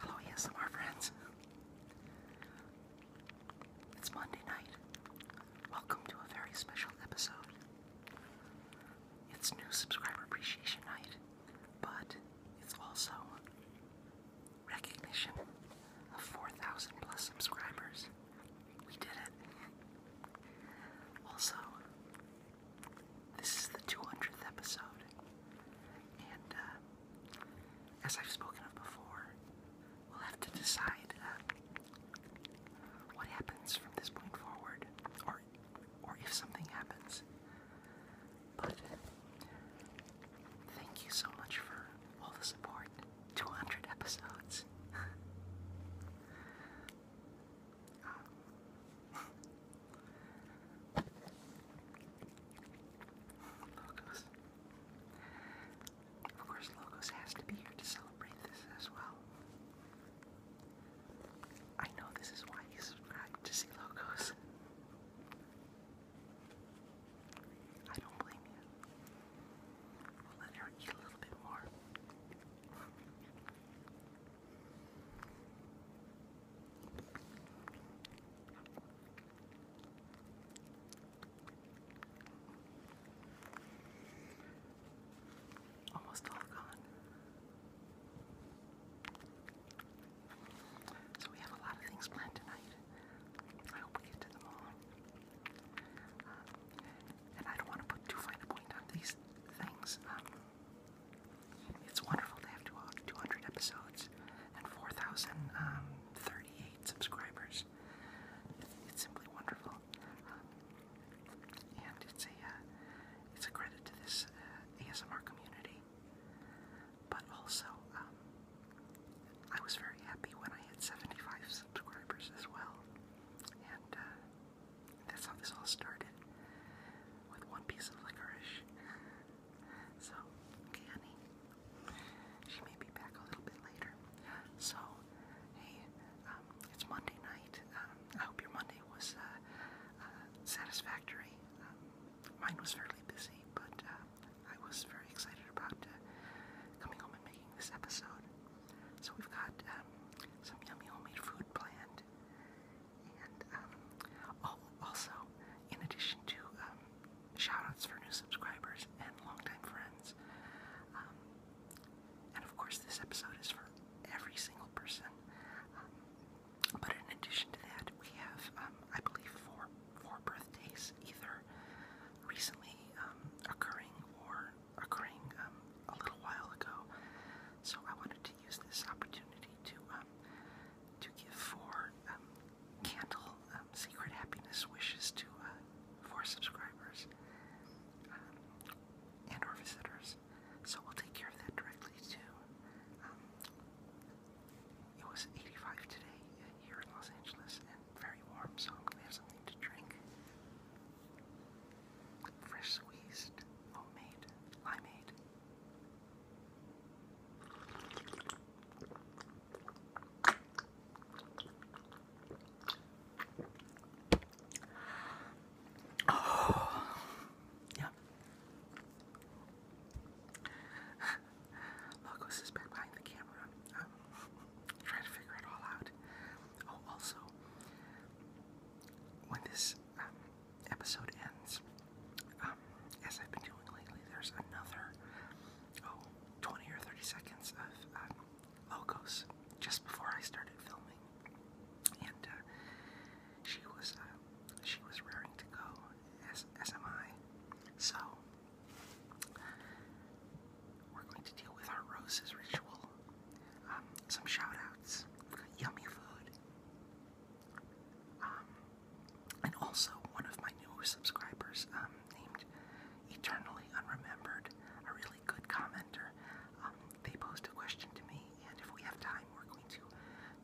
Hello, yes, our friends. It's Monday night. Welcome to a very special episode. It's new subscriber appreciation night, but it's also recognition of 4,000 plus subscribers. We did it. Also, this is the 200th episode, and uh, as I've spoken of before, we'll have to decide uh, what happens from this point forward, or or if something happens. But thank you so much for all the support. 200 episodes. Um, Logos. Of course, Logos has to be here to celebrate this as well. I know this is why you subscribe to see Logos. I don't blame you. We'll let her eat a little bit more. Almost all gone. So we have a lot of things planned tonight. I hope we get to them all. Um, and I don't want to put too fine a point on these things. Um, it's wonderful to have 200 episodes and 4,038 um, subscribers. It's simply wonderful. and it's a, uh, it's a credit to this uh, ASMR community. But also, um, I was very happy when I had 75 subscribers as well. And uh, that's how this all started. With one piece of licorice. So, okay, honey. She may be back a little bit later. So, hey, um, it's Monday night. Um, I hope your Monday was uh, uh, satisfactory. Um, mine was fairly busy, but uh, I was very excited about uh, coming home and making this episode. So, we've got um, some yummy homemade food planned. And um, oh, also, in addition to um, shoutouts for new subscribers and longtime friends, um, and of course, this episode is for every single person. but in addition to that, we have, I believe, four four birthdays, either recently occurring or occurring a little while ago. So I wanted to wanted to use this opportunity to um, to give four um, candle um, secret happiness wishes to uh, four subscribers and or visitors. So we'll take care of that directly too. it was 85 today uh, here in Los Angeles and very warm, so I'm gonna have something to drink. Fresh squeezed, homemade, limeade. Oh, yeah. Logos has been behind the camera. i trying to figure it all out. Oh, also, when this um, episode ends, um, as I've been doing lately, there's another oh, or 30 seconds of um, Logos just before I started filming, and uh, she was uh, she was raring to go, as as am I. So we're going to deal with our roses ritual, um, some shout yummy food, um, and also, one of my newer subscribers um, named Eternally Unremembered, a really good commenter, um, they posed a question to me, and if we have time, we're going to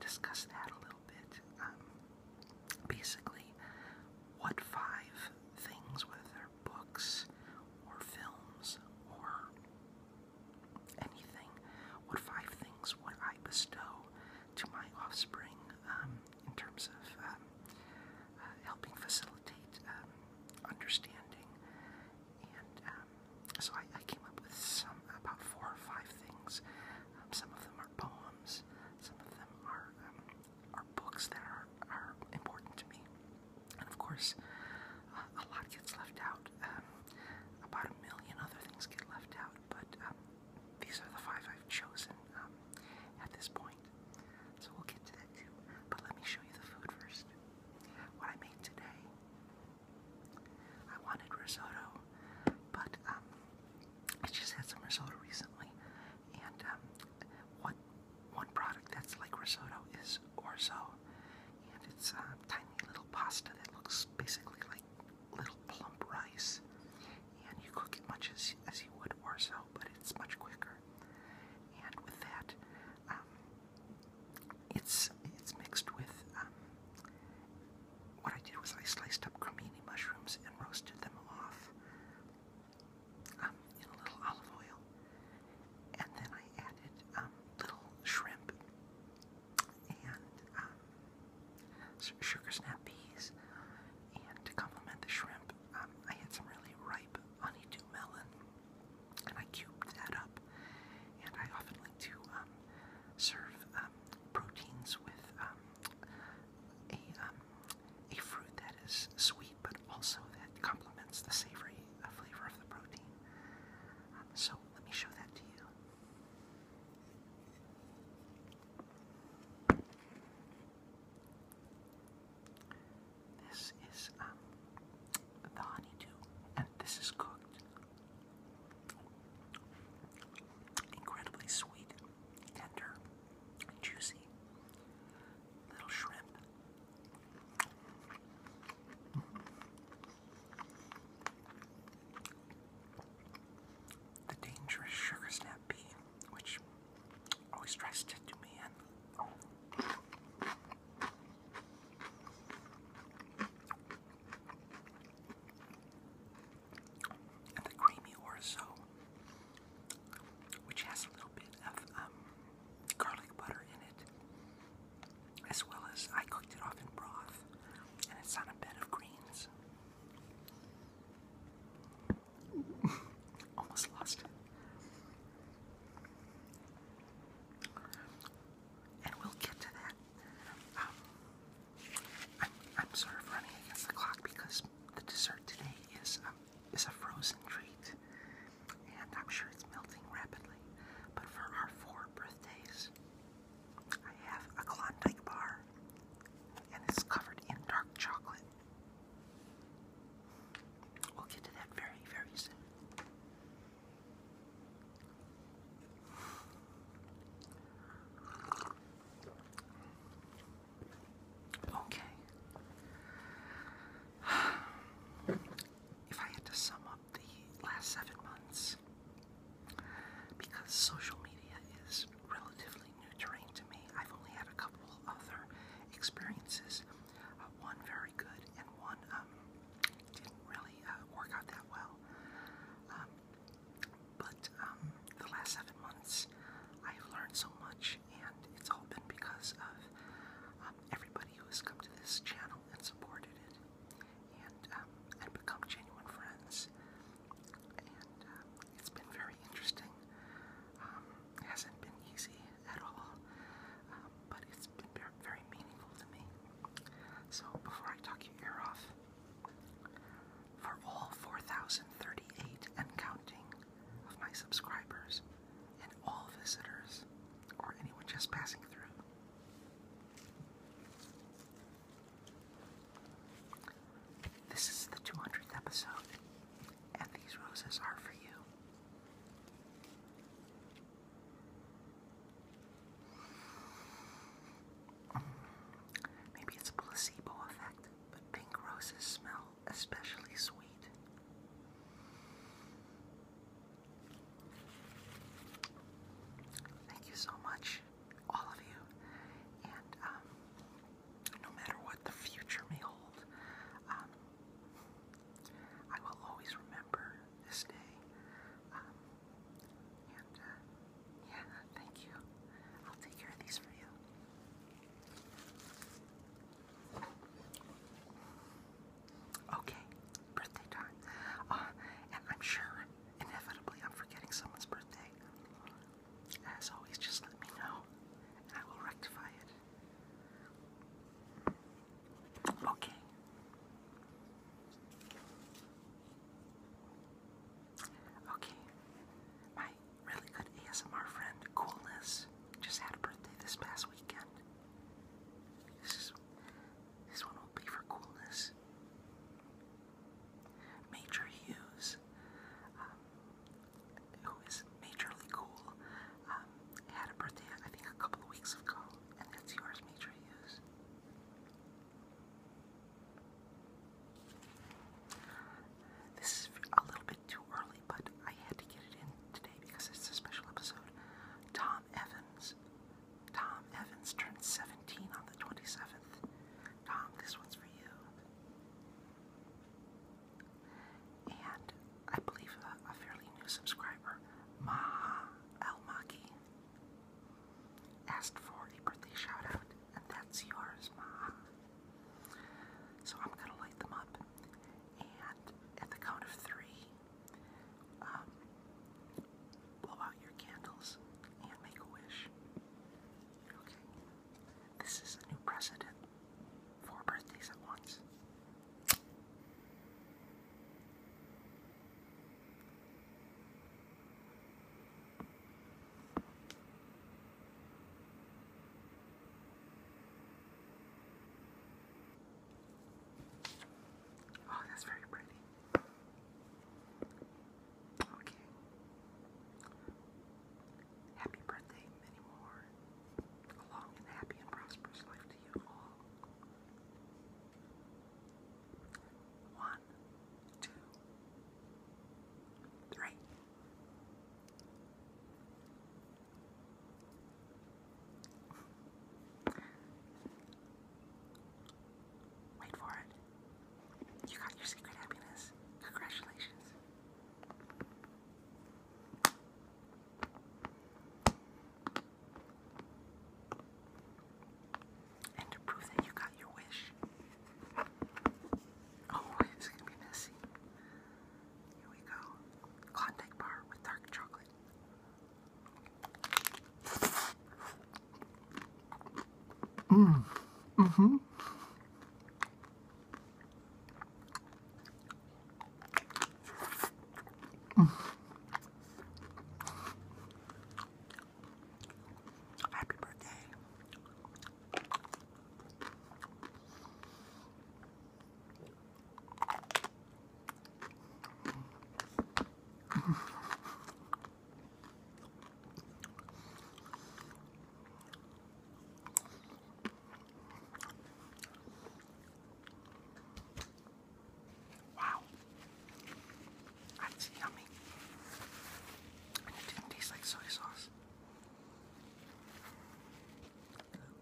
discuss that a little bit. basically, what five things, whether their books or films or anything. What five things would I bestow to my offspring um, in terms of um, uh, helping facilitate um, understanding? And so I, came up with some about four or five things. some of them are poems. Some of them are are books that are are important to me. And of course, uh, a lot gets left out. about a million other things get left out but um, these are the five I've chosen um, at this point. So we'll get to that too. But let me show you the food first. What I made today, I wanted risotto, but um, I just had some risotto recently, and what one product that's like risotto is orzo, and it's a tiny little pasta that looks basically like little plump rice, and you cook it much as, as you would orzo, but it's much quicker. And with that, um, it's it's mixed with. Um, what I did was I sliced up cremini mushrooms and roasted them off um, in a little olive oil, and then I added um, little shrimp and um, sugar snap peas, and to complement the shrimp, um, I had some really ripe honeydew melon, and I cubed that up. And I often like to um, serve um, proteins with a a fruit that is sweet, but also that complements the savory uh, flavor of the protein. so let me show that to you. This is um, the honeydew, and this is cooked. Incredibly sweet, tender, juicy little shrimp. Mm-hmm. The dangerous sugar snap pea, which always tries to me And the creamy orzo, which has a little bit of um, garlic butter in it, as well as I cooked it off in broth, and it's on a bed of greens. Almost lost And we'll get to that. Um, I'm, sort of running against the clock because the dessert today is um, is a frozen treat, and I'm sure it's melting rapidly. But for our four birthdays, I have a Klondike bar, and it's covered in dark chocolate. We'll get to that very, very soon. Okay. If I had to sum up the last seven months, because social media is relatively new terrain to me, I've only had a couple other experiences. Uh, one very good, and one um, didn't really uh, work out that well. Um, but um, the last seven months, I've learned so much, and it's all been because of everybody who has come to this channel and supported it, and and become genuine friends. Um, it's been very interesting. Um, hasn't been easy at all, um, but it's been very meaningful to me. So before I talk your ear off, for all 4,038 and counting of my subscribers and all visitors or anyone just passing through. This is the 200th episode, and these roses are for you. Maybe it's placebo effect, but pink roses smell especially sweet. Thank you so much all of you. And um, no matter what the future may hold, um, I will always remember this day. Um, and uh, yeah, thank you. I'll take care of these for you. Okay, birthday time. Uh, and I'm sure inevitably I'm forgetting someone's birthday. As always, just let me know and I will rectify it. Okay. Okay. My really good ASMR friend, Coolness, just had a birthday this past weekend. This is this one will be for Coolness. Major Hughes, um, who is majorly cool, um, had a birthday I think a couple of weeks ago, and that's yours, Major Hughes. This is a little bit too early, but I had to get it in today because it's a special episode. Tom Evans. Tom Evans turned 17 on the 27th. Tom, this one's for you. And I believe a, fairly new subscriber, Maha Almaki, asked for a birthday shout and that's yours, Maha. So I'm going to light them up, and at the count of three, um, blow out your candles and make a wish. Okay. This is a new precedent. Four birthdays at once. Oh, that's very pretty. Okay. Happy birthday, many more. A long and happy and prosperous life to you all. One, two, three. Wait for it. You got your secret happiness. Congratulations. And to prove that you got your wish. Oh, it's gonna be messy. Here we go. Klondike bar with dark chocolate. Mm. Mm-hmm. Happy birthday. Wow, that's yummy. And it didn't taste like soy sauce.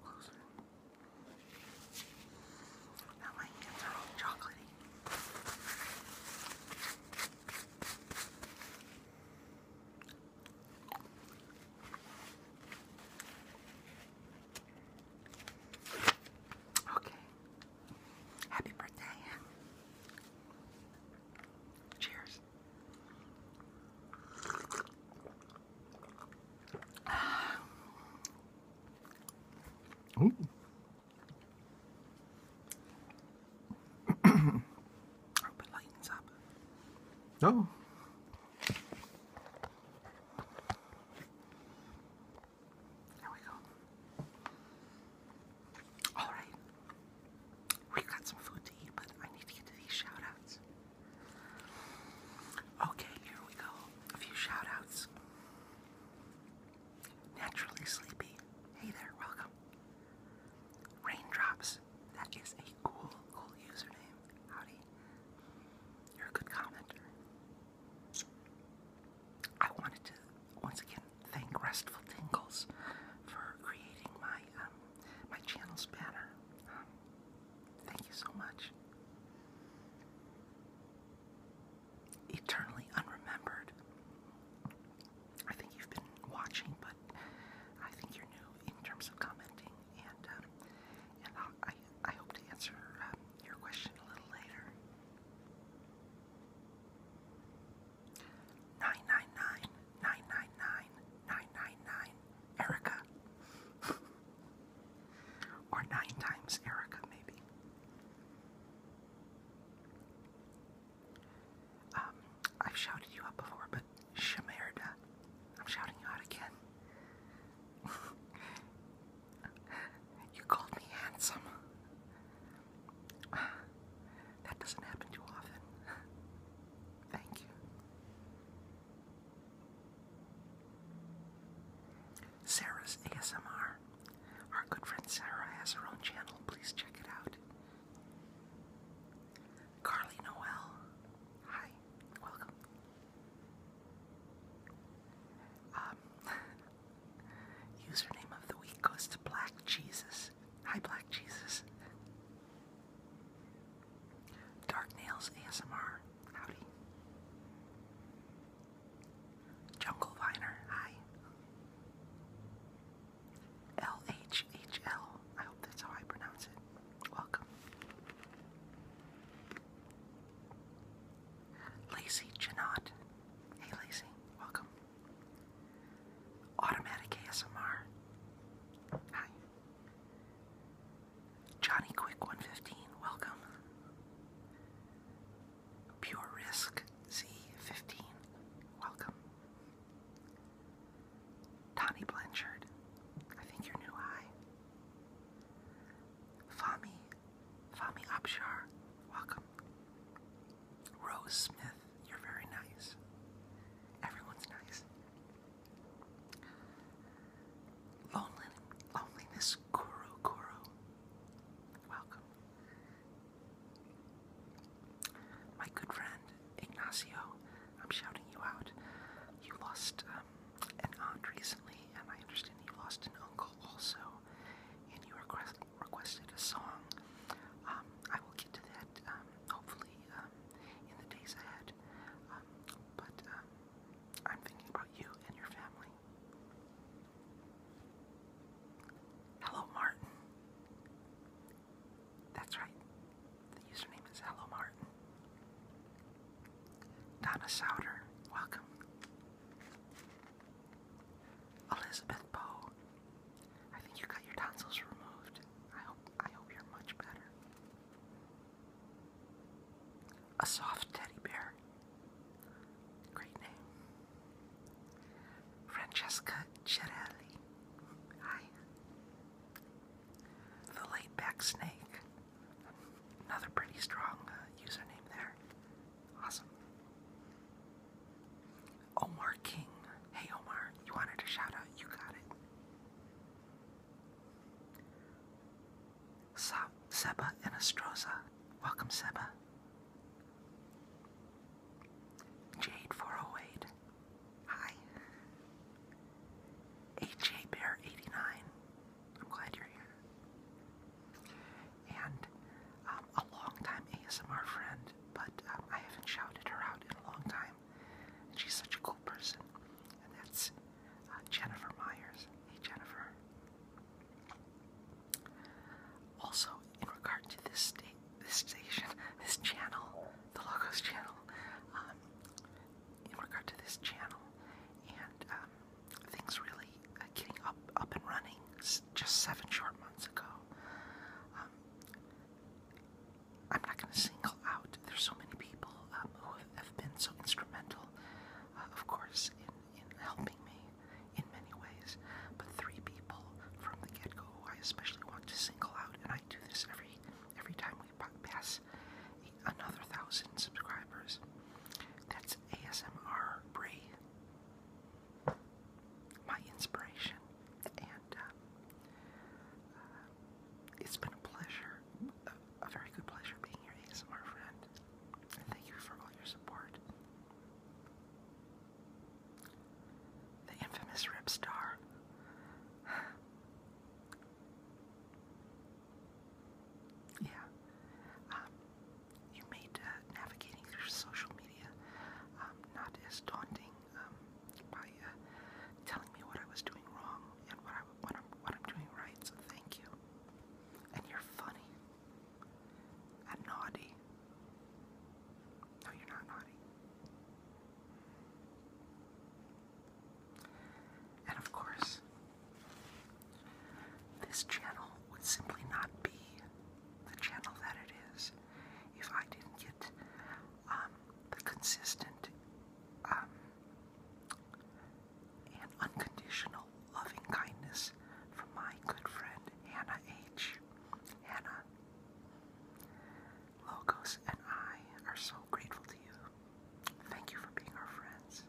Closer. Now my hands are chocolatey. Okay. Happy birthday. Cheers. Ooh. Open lightens up. No. There we go. Alright. we got some food to eat, but I need to get to these shout Okay, here we go. A few shout Naturally Sleepy. Hey there, welcome. Raindrops. That is a cool, cool username. Howdy. You're a good commenter. I wanted to once again thank Restful Tingles for creating my um, my channel's banner. Um, thank you so much. Eternally unremembered. I think you've been watching, but I think you're new in terms of commenting, and um, I I hope to answer um, your question a little later. Nine nine nine nine nine nine nine nine nine Erica, or nine times Erica maybe. Um, I've shouted you out before, but Shemerda, I'm shouting you out again. you called me handsome. That doesn't happen too often. Thank you. Sarah's ASMR. Our good friend Sarah has her own channel. Please check it out. Carly Noel. Hi, welcome. Um, username of the week goes to Black Jesus. Hi, Black Jesus. Dark Nails ASMR. Howdy. Jungle Viner. Hi. LHHL. hope that's how I pronounce it. Welcome. Lacey Janot. Hey Lacey, welcome. Automatic ASMR. Hi. Johnny Quick 115, welcome. Pure Risk Z15, welcome. Donnie Blanchard, I think you're new high. Fami, Fami Abshar, welcome. Rose Smith, you're very nice. Everyone's nice. Lonely, loneliness, Kuro Kuro, welcome. My good friend Ignacio, I'm shouting you out. You lost um, an aunt recently, and I understand you lost an uncle also, and you request requested a song. Um, I will get to that um, hopefully in the days ahead. but I'm thinking about you and your family. Hello, Martin. That's right. The username is Hello Martin. Donna Souter, welcome. Elizabeth Poe, I think you got your tonsils removed. I hope I hope you're much better. A soft teddy bear. Great name. Francesca Cirelli. Hi. The Laid Back Snake. Another pretty strong uh, username there. Awesome. Omar King. Hey Omar, you wanted a shout out? You got it. So, Seba and Welcome, Seba. Jade408. Hi. AJ Bear 89. I'm glad you're here. And um, a longtime ASMR friend, but um, I haven't shouted her out in a long time. she's such a cool person. And that's uh, Jennifer Myers. Hey, Jennifer. Also, in regard to this state, this station, this channel, the Logos channel, um, in regard to this channel, and um, things really uh, getting up, up and running just seven short months ago. Um, I'm not going to single out. There's so many people um, who have been so instrumental, uh, of course, in, in helping me in many ways. But three people from the get-go I especially want to single out, and I do this every every time we pass another thousand subscribers. That's ASMR Bree, my inspiration, and um, uh, it's been a pleasure, a, very good pleasure being your ASMR friend. thank you for all your support. The infamous Rip Star. yeah. Um, you made uh, navigating through social media um, not as daunting um, by uh, telling me what I was doing wrong and what I'm doing right, so thank you. And you're funny. And naughty. No, you're not naughty. And of course, this channel would simply not be the channel that it is if I didn't get um, the consistent um, and unconditional loving kindness from my good friend Hannah H. Hannah. Logos and I are so grateful to you. Thank you for being our friends.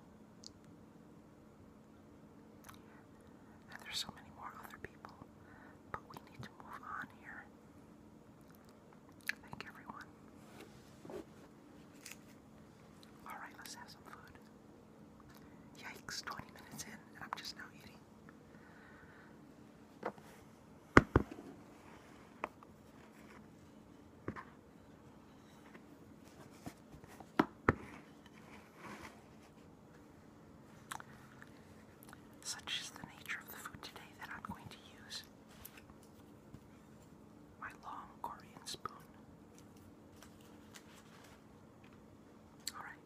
And there's so many more other people, but we need to move on here. Thank everyone. Alright, let's have some food. Yikes, 20 minutes in, I'm just now eating. Such is the nature of the food today that I'm going to use my long Korean spoon. All right.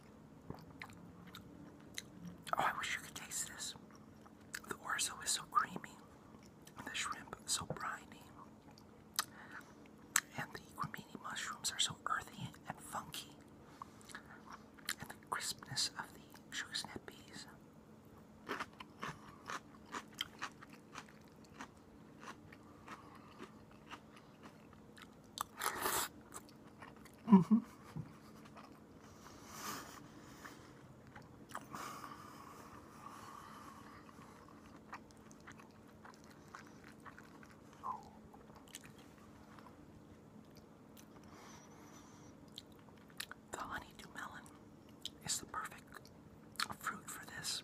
Oh, I wish you could taste this. The orzo is so creamy, the shrimp so briny, and the cremini mushrooms are so earthy and funky, and the crispness of the sugar snap peas. Mm-hmm. The honeydew melon is the perfect fruit for this.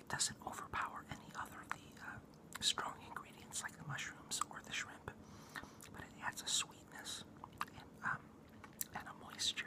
It doesn't overpower any other of the uh, strong ingredients like the mushrooms or the shrimp, but it adds a sweetness and, um, a moisture.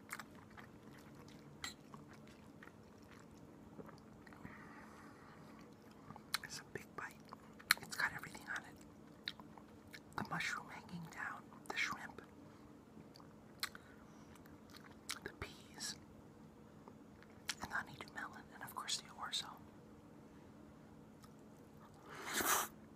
It's a big bite. It's got everything on it. The mushroom hanging down, the shrimp, the peas, the honeydew melon, and of course the orzo.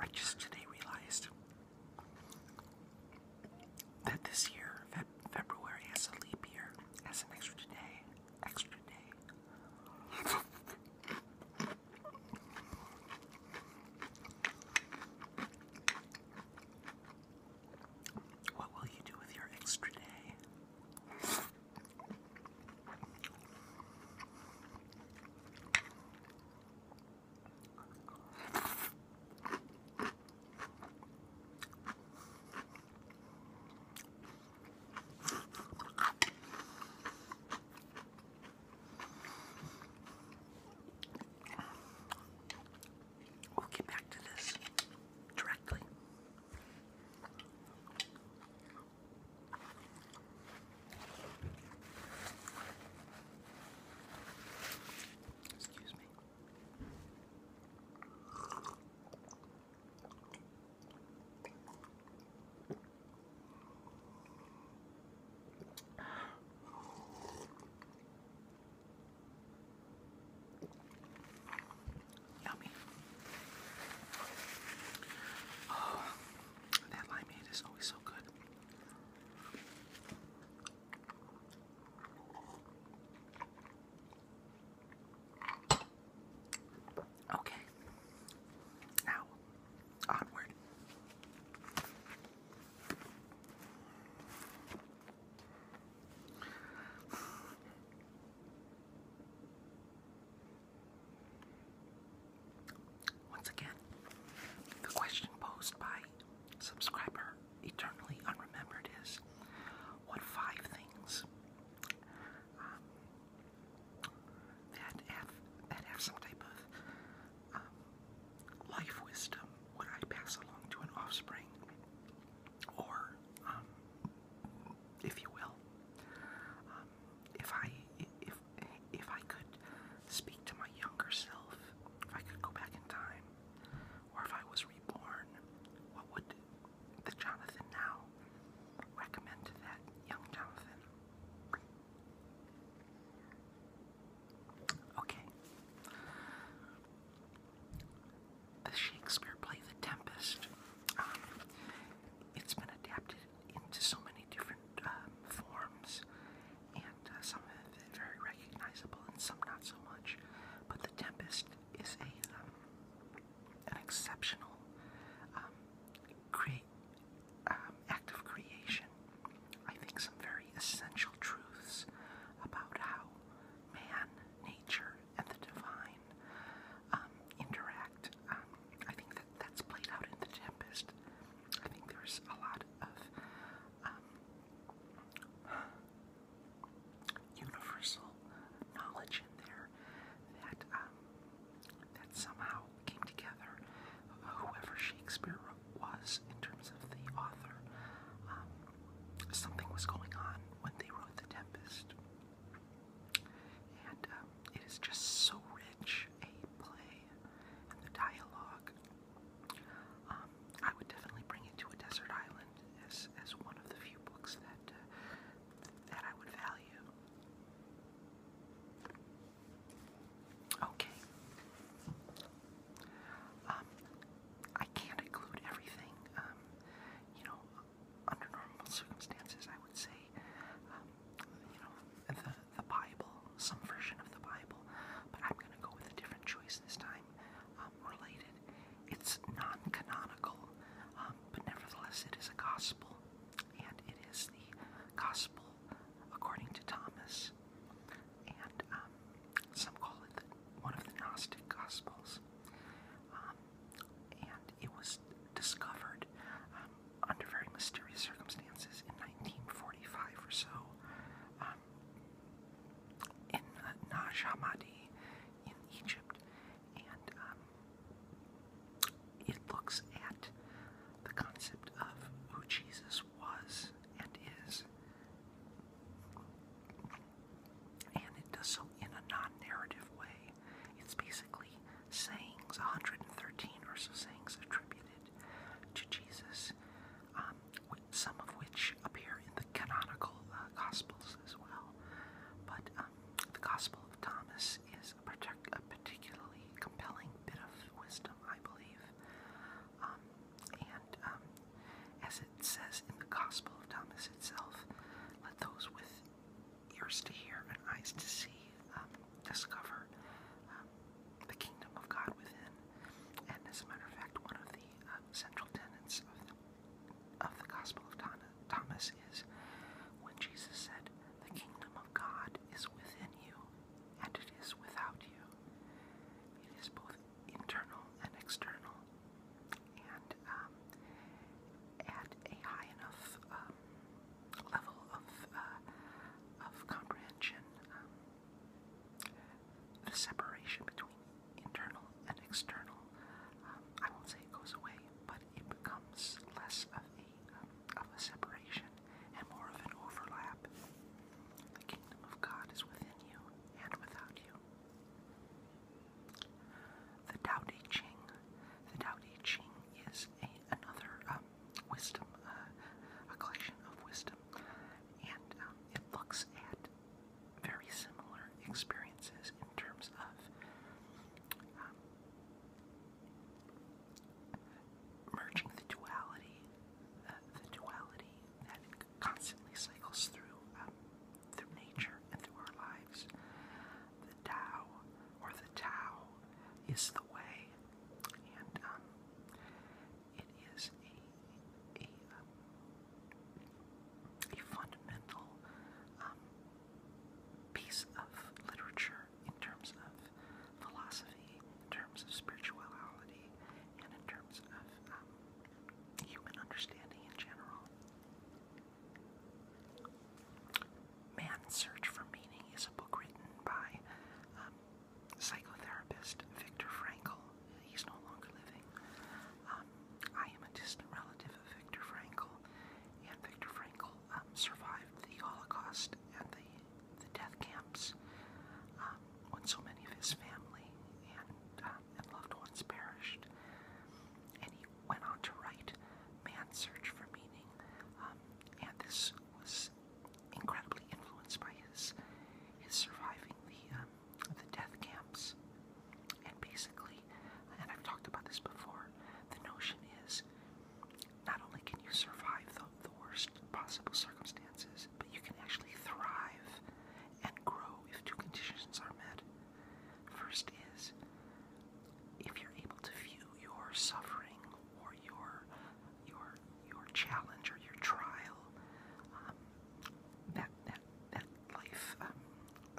I just today realized that this year, Fe February, has a leap year, has an extra day, extra day. What will you do with your extra day? We'll get back to this directly. Excuse me. Yummy. Oh, that limeade is always so good. Okay. Now, onward. Once again, the question posed by subscriber Eternally Unremembered is what five things um, that have that have some type of um, life wisdom would I pass along to an offspring or um, if you will if I if if I could speak to my younger self if I could go back in time, or if I was reborn, what would the Jonathan now recommend to that young Jonathan? Okay. The Shakespeare play The Tempest. Um, it's been adapted into so many different um, forms, and uh, some very recognizable and some not so much. But The Tempest is a um, an exceptional um, create um, act of creation. I think some very essential truths about how man, nature, and the divine um, interact. I think that that's played out in The Tempest. I think there's a lot of um, universal knowledge in there that um, that somehow came together. Whoever Shakespeare was in terms of the author, um, something was going on when they wrote *The Tempest*, and it is just so rich a play, and the dialogue um, I would definitely bring it to a desert island as, as one of the few books that, uh, that I would value. Okay. Um, I can't include everything. Um, you know, under normal circumstances, I would say, um, you know, the, the Bible, some version of the Bible, but I'm gonna go with a different choice this time. Um, related, it's non-canonical, um, but nevertheless it is a gospel, and it is the gospel according to Thomas, and um, some call it one of the Gnostic Gospels. and it was discovered under very mysterious circumstances in 1945 or so in uh, Nashamadi, in Egypt, and um, it looks at the concept of who Jesus was and is, and it does so in a non-narrative way. It's basically sayings, 113 or so sayings attributed to Jesus. Um, some of which appear in the canonical uh, Gospels as well. But um, the Gospel of Thomas is a, partic a particularly compelling bit of wisdom, I believe. Um, and um, as it says in the Gospel of Thomas itself, let those with ears to hear and eyes to see discover the kingdom of God within. And as a matter of fact, one of the um, central tenets of the, Gospel of Thomas is when Jesus said, The kingdom of God is within you, and it is without you. It is both internal and external, and um, at a high enough um, level of, uh, comprehension the separation between internal and external, um, I won't say it goes away, but it becomes less of a, um, of a separation and more of an overlap. The kingdom of God is within you and without you. The Tao Te Ching. The Tao Te Ching is a, another um, wisdom, uh, a collection of wisdom and um, it looks at very similar experiences in terms of um, merging the duality, the duality that constantly cycles through um, through nature and through our lives. The Tao, or the Tao, is the way, and it is a, a, fundamental um, piece of literature in terms of philosophy, in terms of spirituality, and in terms of um, human understanding in general. Man's Search for Meaning is a book written by um, psychotherapist Viktor Frankl. He's no longer living. Um, I am a distant relative of Viktor Frankl, and Viktor Frankl um, survived the Holocaust and the, the death camps um, when so many of his family and, loved ones perished. And he went on to write Man's Search for Meaning, and this was incredibly influenced by his his surviving the the death camps. And basically, and I've talked about this before, the notion is not only can you survive the, worst possible circumstances, but you can actually thrive and grow if two conditions are met. First is if you're able to view your suffering or your your your challenge or your trial um, that that that life um,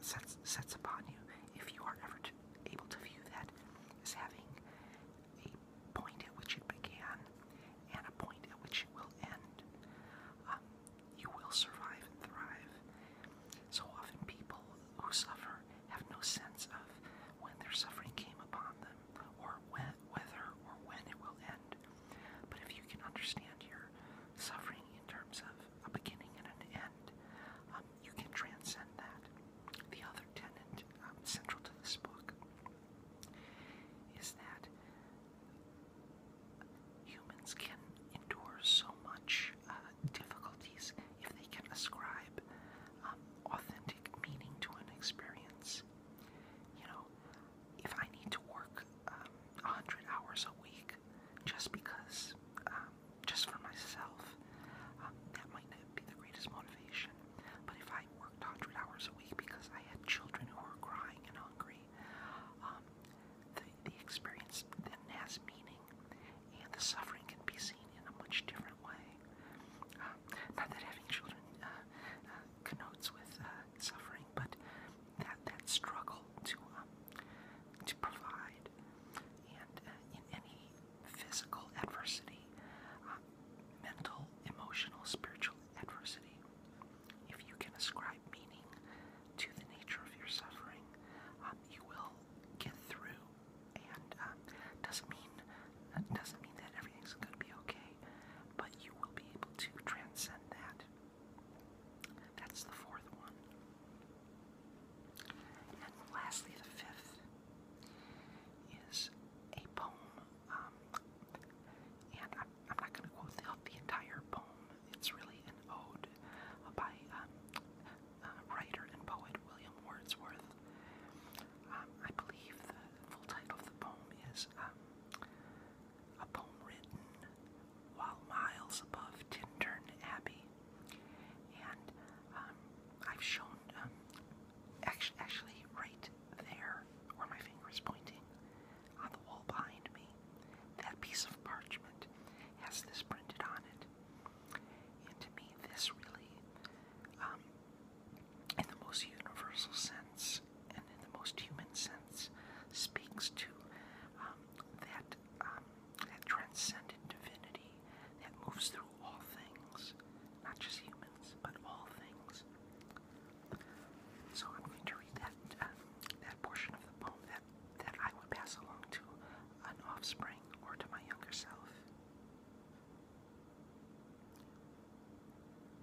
sets sets upon you, if you are ever to, able to view that as having a point at which it began and a point at which it will end, um, you will survive and thrive. So often, people who suffer have no sense of when their suffering came upon them, or when, whether or when it will end. But if you can understand your suffering in terms of a beginning and an end, um, you can transcend that. The other tenet um, central to this book is that humans can endure so much uh, difficulties if they can ascribe um, authentic meaning to an experience. You know, if I need to work um, 100 hours a week just because, um, just for myself, um, that might not be the greatest motivation. But if I worked 100 hours a week because I had children who were crying and hungry, um, the, the experience then has meaning, and the suffering can be seen in a much different way. Uh, not that having children uh, uh, connotes with uh, suffering, but that that struggle to um, to provide, and uh, in any physical adversity, um, mental, emotional, spiritual adversity, if you can ascribe meaning to the nature of your suffering, um, you will get through. And doesn't mean uh, doesn't mean that everything's going to be okay, but you will be able to transcend that. That's the fourth one. And lastly, the fifth is a poem. Um, and I'm, not going to quote the, entire poem, it's really an ode uh, by um, uh, writer and poet William Wordsworth. Um, I believe the full title of the poem is um, a poem written while miles above Tintern Abbey. And um, I've shown, um, actually, right there where my finger is pointing on the wall behind me, that piece of parchment has this printed on it. And to me, this really, um, in the most universal sense, and in the most human sense, speaks to um, that um, that transcendent divinity that moves through all things, not just humans, but all things. So I'm going to read that um, that portion of the poem that that I would pass along to an offspring or to my younger self.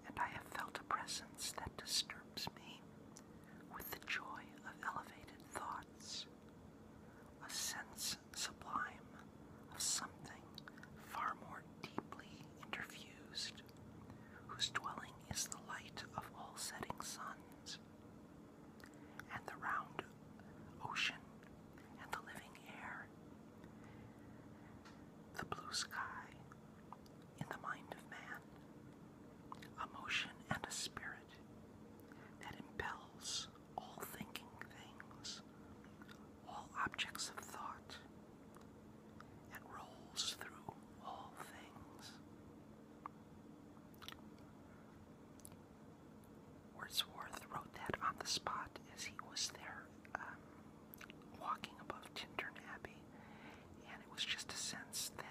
And I have felt a presence that disturbs me with the joy of elevated thoughts, a sense sublime of something far more deeply interfused, whose dwelling is the light of all setting suns, and the round ocean, and the living air, the blue sky, in the mind of man, a motion and a spirit that impels all thinking things, all objects of thought, and rolls through all things. Wordsworth wrote that on the spot as he was there um, walking above Tintern Abbey, and it was just a sense that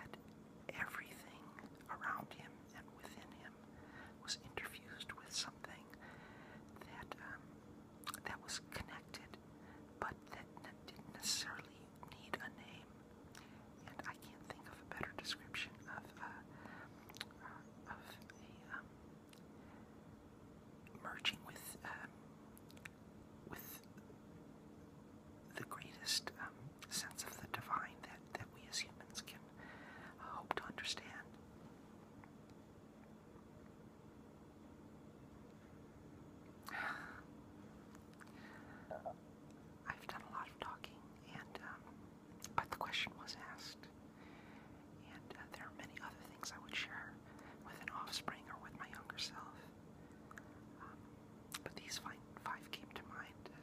Everything around him and within him was interfused with something that um, that was connected, but that didn't necessarily need a name. And I can't think of a better description of uh, uh, of a um, merging with um, with the greatest um, sense of the divine that, that we as humans can uh, hope to understand. I've done a lot of talking, and um, but the question was asked, and uh, there are many other things I would share with an offspring or with my younger self. Um, but these five, came to mind uh,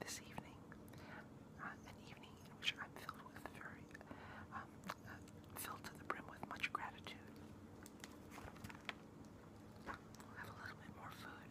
this evening, uh, an evening in which I'm filled with very, um, uh, filled to the brim with much gratitude. have a little bit more food.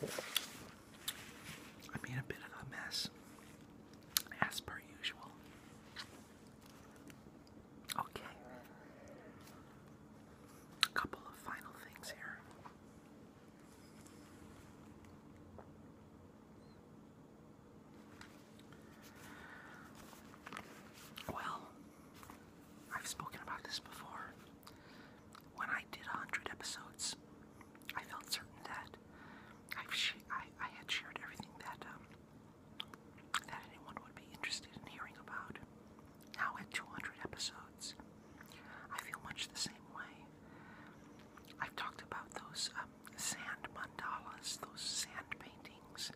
I made a bit of a mess as per usual. Okay. A couple of final things here. Well, I've spoken about this before. When I did 100 episodes, I felt certain that I've I, I had shared everything that um, that anyone would be interested in hearing about. Now at 200 episodes, I feel much the same way. I've talked about those um, sand mandalas, those sand paintings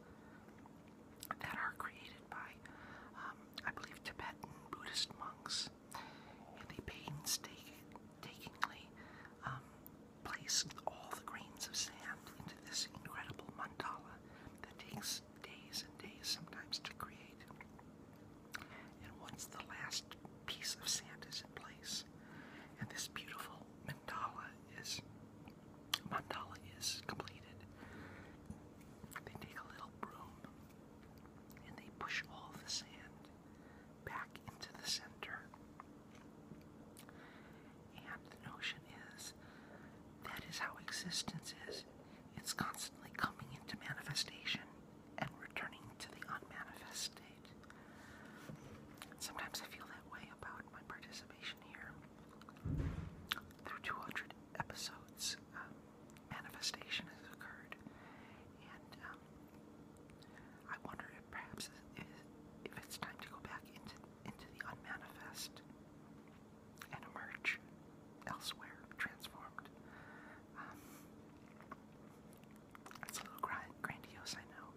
that are created by, um, I believe, Tibetan Buddhist monks, and they painstakingly Place all the grains of sand into this incredible mandala that takes days and days sometimes to create. And once the last piece of sand is in place, and this beautiful mandala is mandala is completed, they take a little broom and they push all the sand back into the center. And the notion is that is how existence is. It's constantly coming into manifestation and returning to the unmanifest state. Sometimes I feel that way about my participation here. Through 200 episodes, um, manifestation has occurred. And um, I wonder perhaps if it's time to go back into, into the unmanifest and emerge elsewhere, transformed. Um, a little grandiose, I know,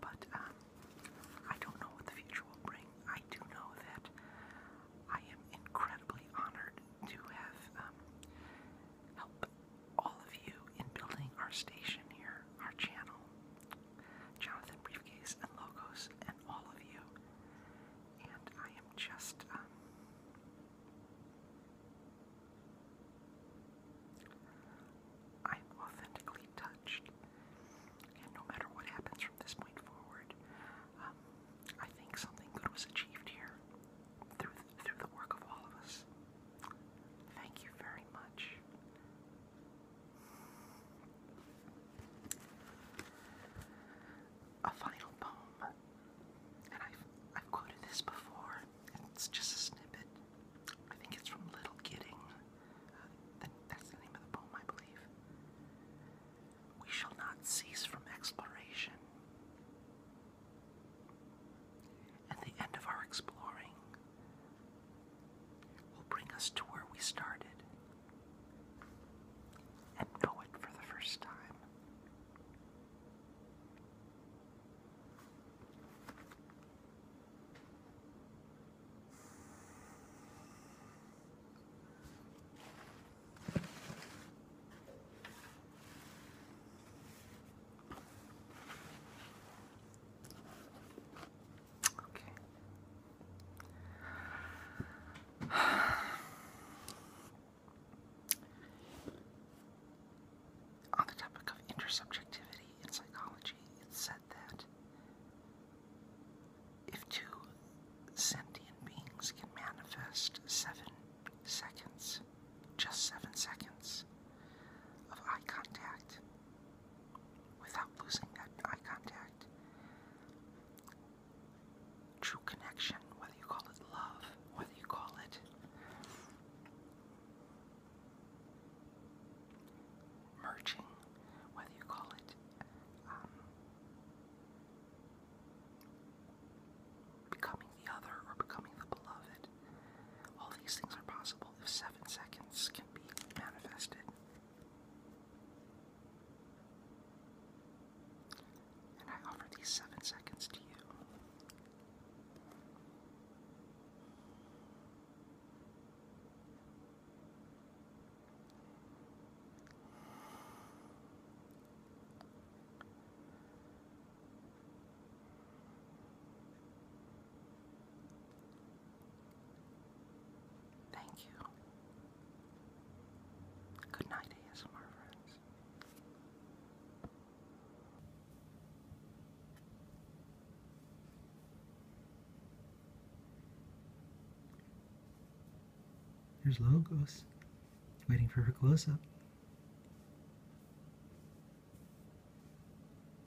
but um, I don't know what the future will bring. I do know that I am incredibly honored to have um, helped all of you in building our station here, our channel. Jonathan Briefcase and Logos, and all of you. And I am just, um, I'm authentically touched. And no matter what happens from this point forward, um, I think something good was achieved here through through the work of all of us. Thank you very much. A final poem, and I've, I've quoted this before, it's just a snippet. I think it's from Little Kidding. Uh, that's the name of the poem, I believe. We shall not cease from exploration and the end of our exploring will bring us to where we started and know it for the first time. Okay. On the topic of intersubjectivity in psychology, it's said that if two sentient beings can manifest seven seconds, just seven seconds, of eye contact without losing that eye contact. True connection, whether you call it love, whether you call it merging, whether you call it um, becoming the other or becoming the beloved. All these things are possible if seven seconds can be manifested. And I offer these seven seconds to you. Thank you. Good night, ASMR friends. Here's Logos, waiting for her close up.